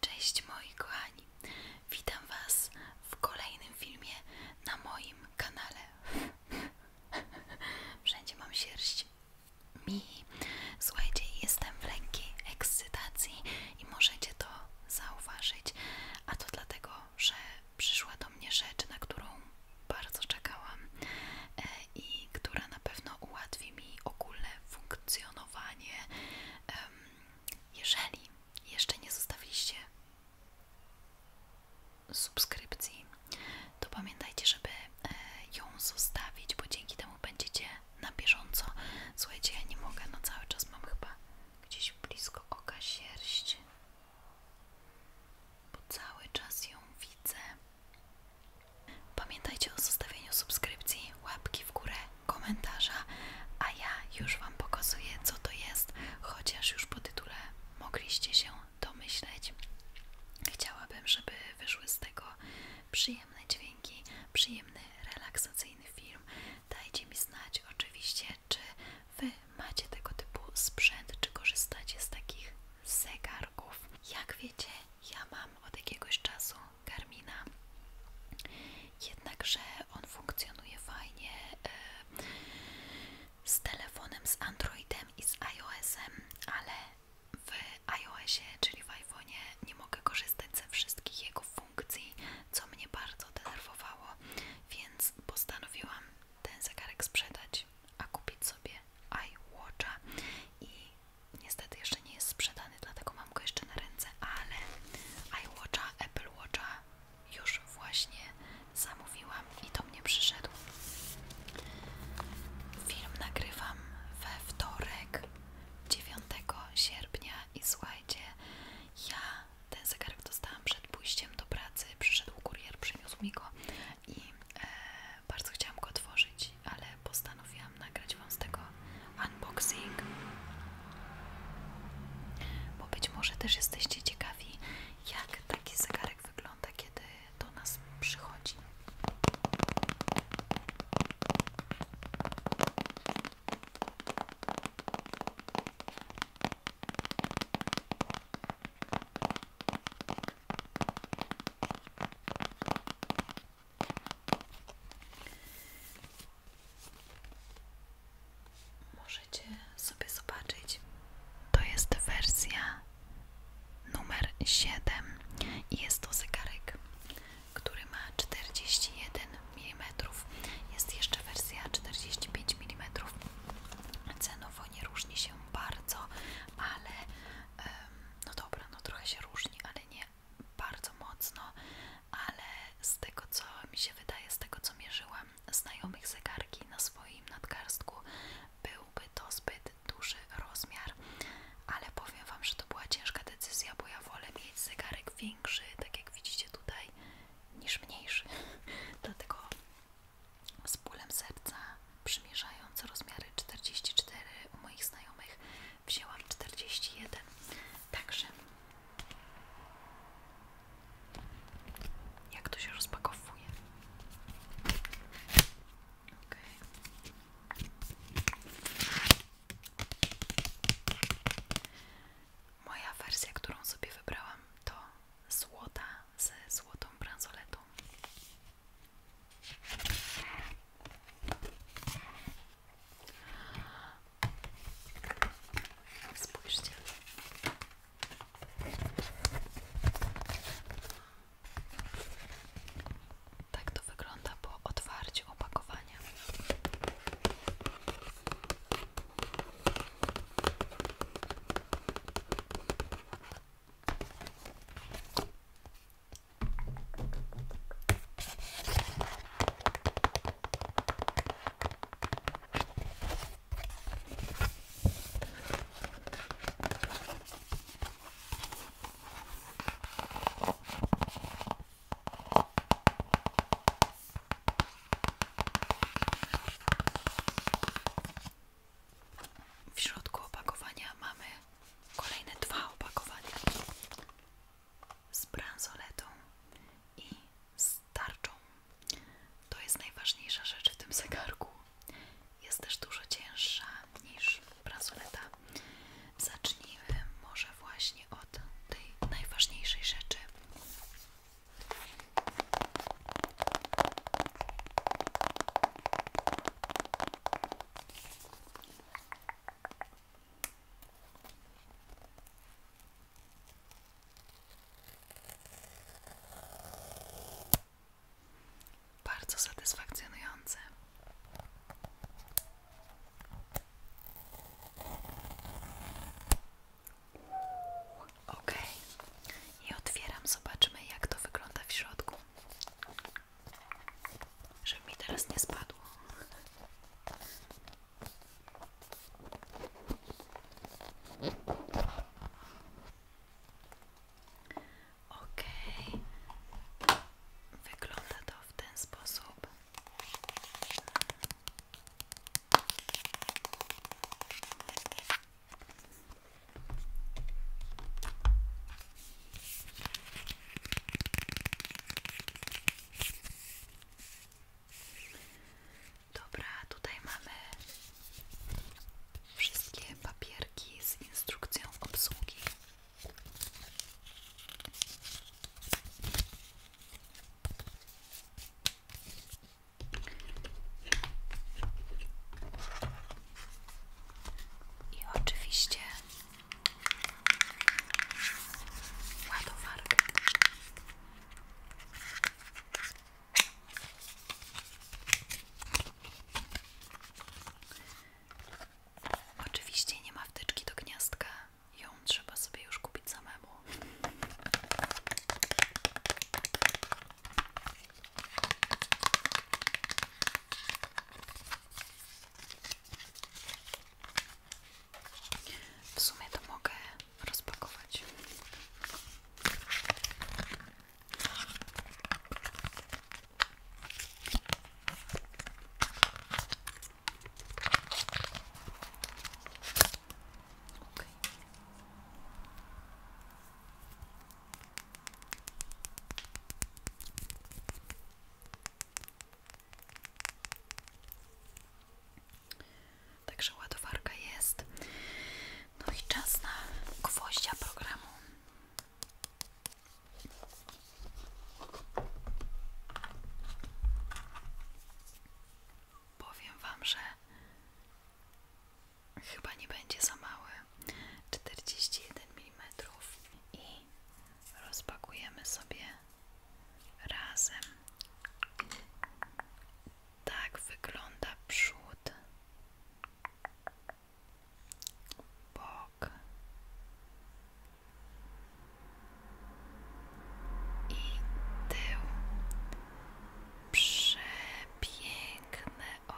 Cześć moi kochani, witam Was w kolejnym filmie na moim kanale. Wszędzie mam sierść. Mi, słuchajcie, jestem w lekkiej ekscytacji i możecie to zauważyć. A to dlatego, że przyszła do mnie rzecz, na którą bardzo czekałam e, i która na pewno ułatwi mi ogólne funkcjonowanie funkcjonowanie. Jeżeli jeszcze nie zostawiliście subskrypcji, to pamiętajcie, żeby e, ją zostawić, bo dzięki temu będziecie na bieżąco. Słuchajcie, ja nie mogę, no cały czas mam chyba gdzieś blisko oka sierść, bo cały czas ją widzę. Pamiętajcie o zostawieniu subskrypcji, łapki w górę, komentarza, a ja już Wam pokazuję co to jest, chociaż już po tytule mogliście się domyśleć. Chciałabym, żeby wyszły z tego przyjemne dźwięki, przyjemny, relaksacyjny film. Dajcie mi znać oczywiście, czy Wy macie tego typu sprzęt, czy korzystacie z takich zegarków. Jak wiecie, ja mam od jakiegoś czasu Karmina, Jednakże on funkcjonuje fajnie e, z telefonem, z Androidem i z iOSem, ale w iOSie, czyli w iPhone'ie, nie mogę korzystać ze wszystkich jego funkcji, co mnie bardzo denerwowało, więc postanowiłam ten zegarek sprzedać, a kupić sobie iWatcha i niestety jeszcze nie jest sprzedany, dlatego mam go jeszcze na ręce, ale iWatcha, Apple Watcha już właśnie zamówiłam i do mnie przyszedł. Film nagrywam we wtorek 9 sierpnia i słuchajcie, ja ten zegarek dostałam przed pójściem do pracy, przyszedł kurier, przyniósł mi go i e, bardzo chciałam go otworzyć ale postanowiłam nagrać Wam z tego unboxing, bo być może też jesteście ciekawi, jak taki zegarek wygląda, kiedy do nas przychodzi. Możecie sobie zobaczyć. To jest wersja numer 7 i jest to zegarek, który ma 41 mm. Jest jeszcze wersja 45 mm. Cenowo nie różni się bardzo, ale no dobra, no trochę się różni, ale nie bardzo mocno, ale z tego co mi się wydaje, z tego co mierzyłam znajomych zegarki na swoim nadgarstku, byłby to zbyt duży rozmiar, ale powiem Wam, że to była ciężka decyzja, bo ja wolę mieć zegarek większy, tak jak widzicie tutaj, niż mniejszy. Dlatego z bólem serca, przymierzając rozmiary 44 u moich znajomych, wzięłam 41 także jak to się rozpakowuje moja wersja, którą sobie wybrałam to złota ze złotą bransoletą tak to wygląda po otwarciu opakowania. W środku opakowania mamy kolejne dwa opakowania z bransoletą i z tarczą. To jest najważniejsza rzecz w tym zegarku. Jest też dużo cięższa niż bransoleta. Zacznijmy może właśnie od tej najważniejszej rzeczy. Bardzo satysfakcjonujące. Ok, i otwieram, zobaczmy, jak to wygląda w środku żeby mi teraz nie spadło. Ok, wygląda to w ten sposób. Dobra, tutaj mamy wszystkie papierki z instrukcją obsługi. I oczywiście ładowarkę Oczywiście nie ma wtyczki do gniazdka, ją trzeba sobie już kupić samemu. W sumie to mogę rozpakować. Także ładowarka jest. No i czas na gwoździa programu. Powiem Wam, że chyba nie będzie za mały czterdzieści jeden i rozpakujemy sobie razem. Tak wygląda przód, bok i tył. Przepiękne,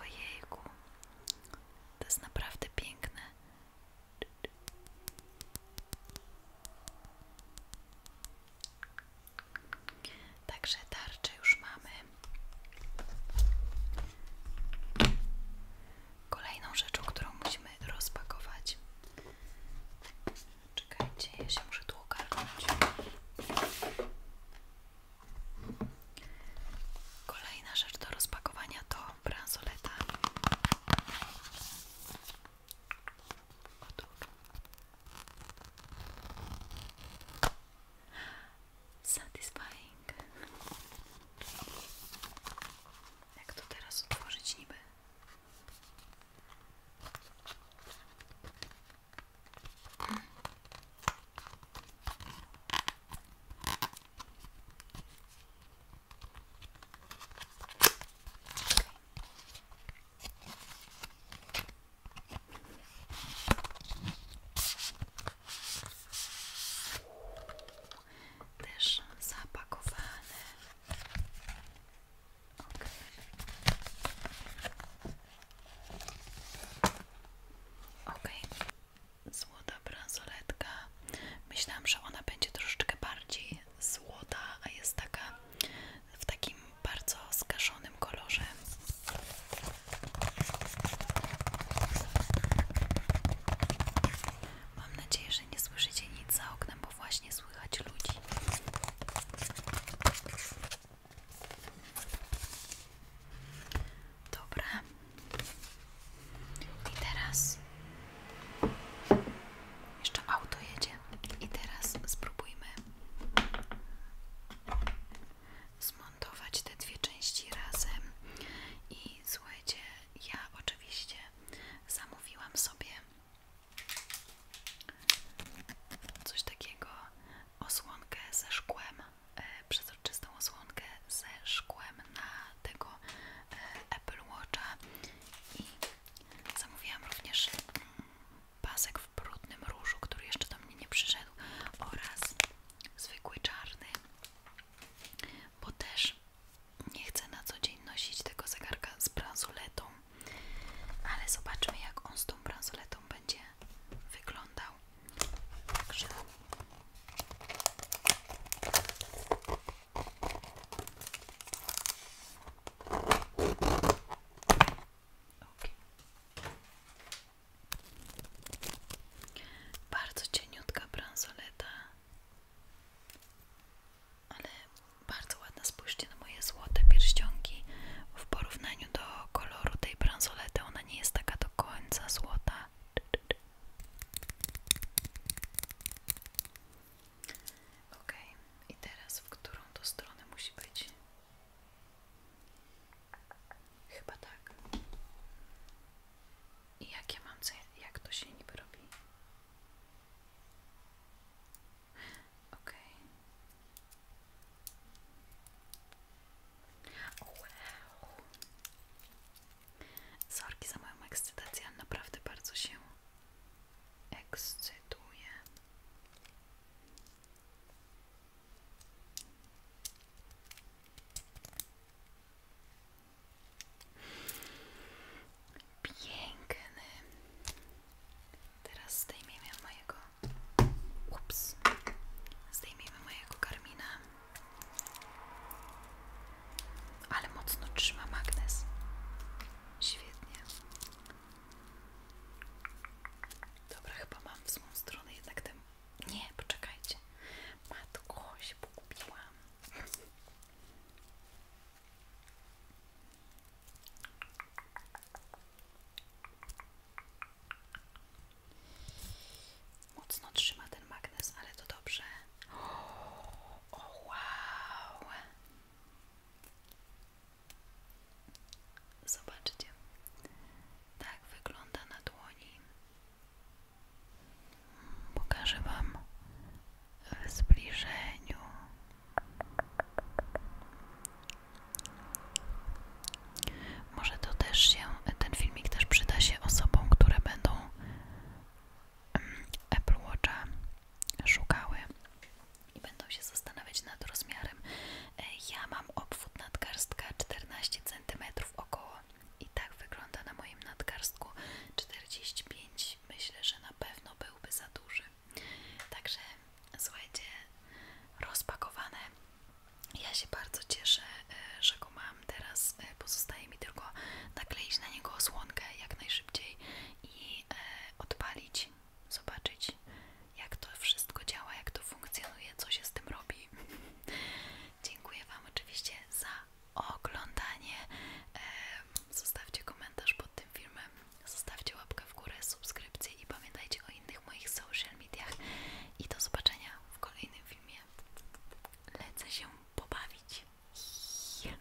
ojejku. To jest naprawdę piękne. Także tarcze już mamy. Kolejną rzeczą, którą musimy rozpakować. Czekajcie, ja się muszę tu ogarnąć. Kolejna rzecz do rozpakowania to bransoleta Odłóż. Satisfying. Jak to teraz otworzyć niby? Też zapakowane. Okay złota bransoletka. Myślałam, że ona będzie troszeczkę bardziej złota, a jest taka w takim bardzo skaszonym kolorze. Mam nadzieję, że nie słyszycie nic za oknem, bo właśnie słychać ludzi. Dobra, i teraz jeszcze auto jedzie. I teraz spróbujmy zmontować te dwie części razem. I słuchajcie, ja oczywiście zamówiłam sobie coś takiego osłonkę ze szkłem e, czystą osłonkę ze szkłem na tego e, Apple Watcha i zamówiłam również mm, pasek w brudnym różu, który jeszcze do mnie nie przyszedł oraz zwykły czarny, bo też nie chcę na co dzień nosić tego zegarka z bransoletą, ale zobaczmy jak on z tą bransoletą będzie wyglądał. Także Okay. Bardzo cieniutka bransoleta, ale bardzo ładna. Spójrzcie na moje złote pierścionki. W porównaniu do koloru tej bransolety, ona nie jest taka do końca złota. Ok, i teraz w którą to stronę musi być? Chyba tak. I jakie ja mam, jak to się nie robi? Ok. Sorki za moją ekscytację, naprawdę bardzo się ekscytuję. Piękny. Teraz zdejmiemy mojego. Ups. Zdejmiemy mojego karmina. Ale mocno trzyma magnes. Świetnie. Dobra, chyba mam w złą stronę jednak ten... Nie, poczekajcie. Matko, się pogubiłam mocno trzyma ten magnes, ale to dobrze. O wow! Zobaczcie, tak wygląda na dłoni. Hmm, pokażę Wam w zbliżeniu. Może to też się, ten filmik też przyda się osobom, które będą Apple Watcha szukały i będą się zastanawiać nad rozmiarem. E, ja mam obwód nadgarstka 14 cm około i tak wygląda na moim nadgarstku 45 myślę, że na pewno byłby za duży. Także słuchajcie, rozpakowane. Ja się bardzo cieszę, E, że mam teraz, e, pozostaje mi tylko nakleić na niego osłonkę jak najszybciej i e, odpalić, zobaczyć jak to wszystko działa, jak to funkcjonuje, co się z tym robi. Dziękuję Wam oczywiście za oglądanie. Zostawcie komentarz pod tym filmem, zostawcie łapkę w górę, subskrypcję i pamiętajcie o innych moich social mediach. I do zobaczenia w kolejnym filmie. Lecę się pobawić. Yeah,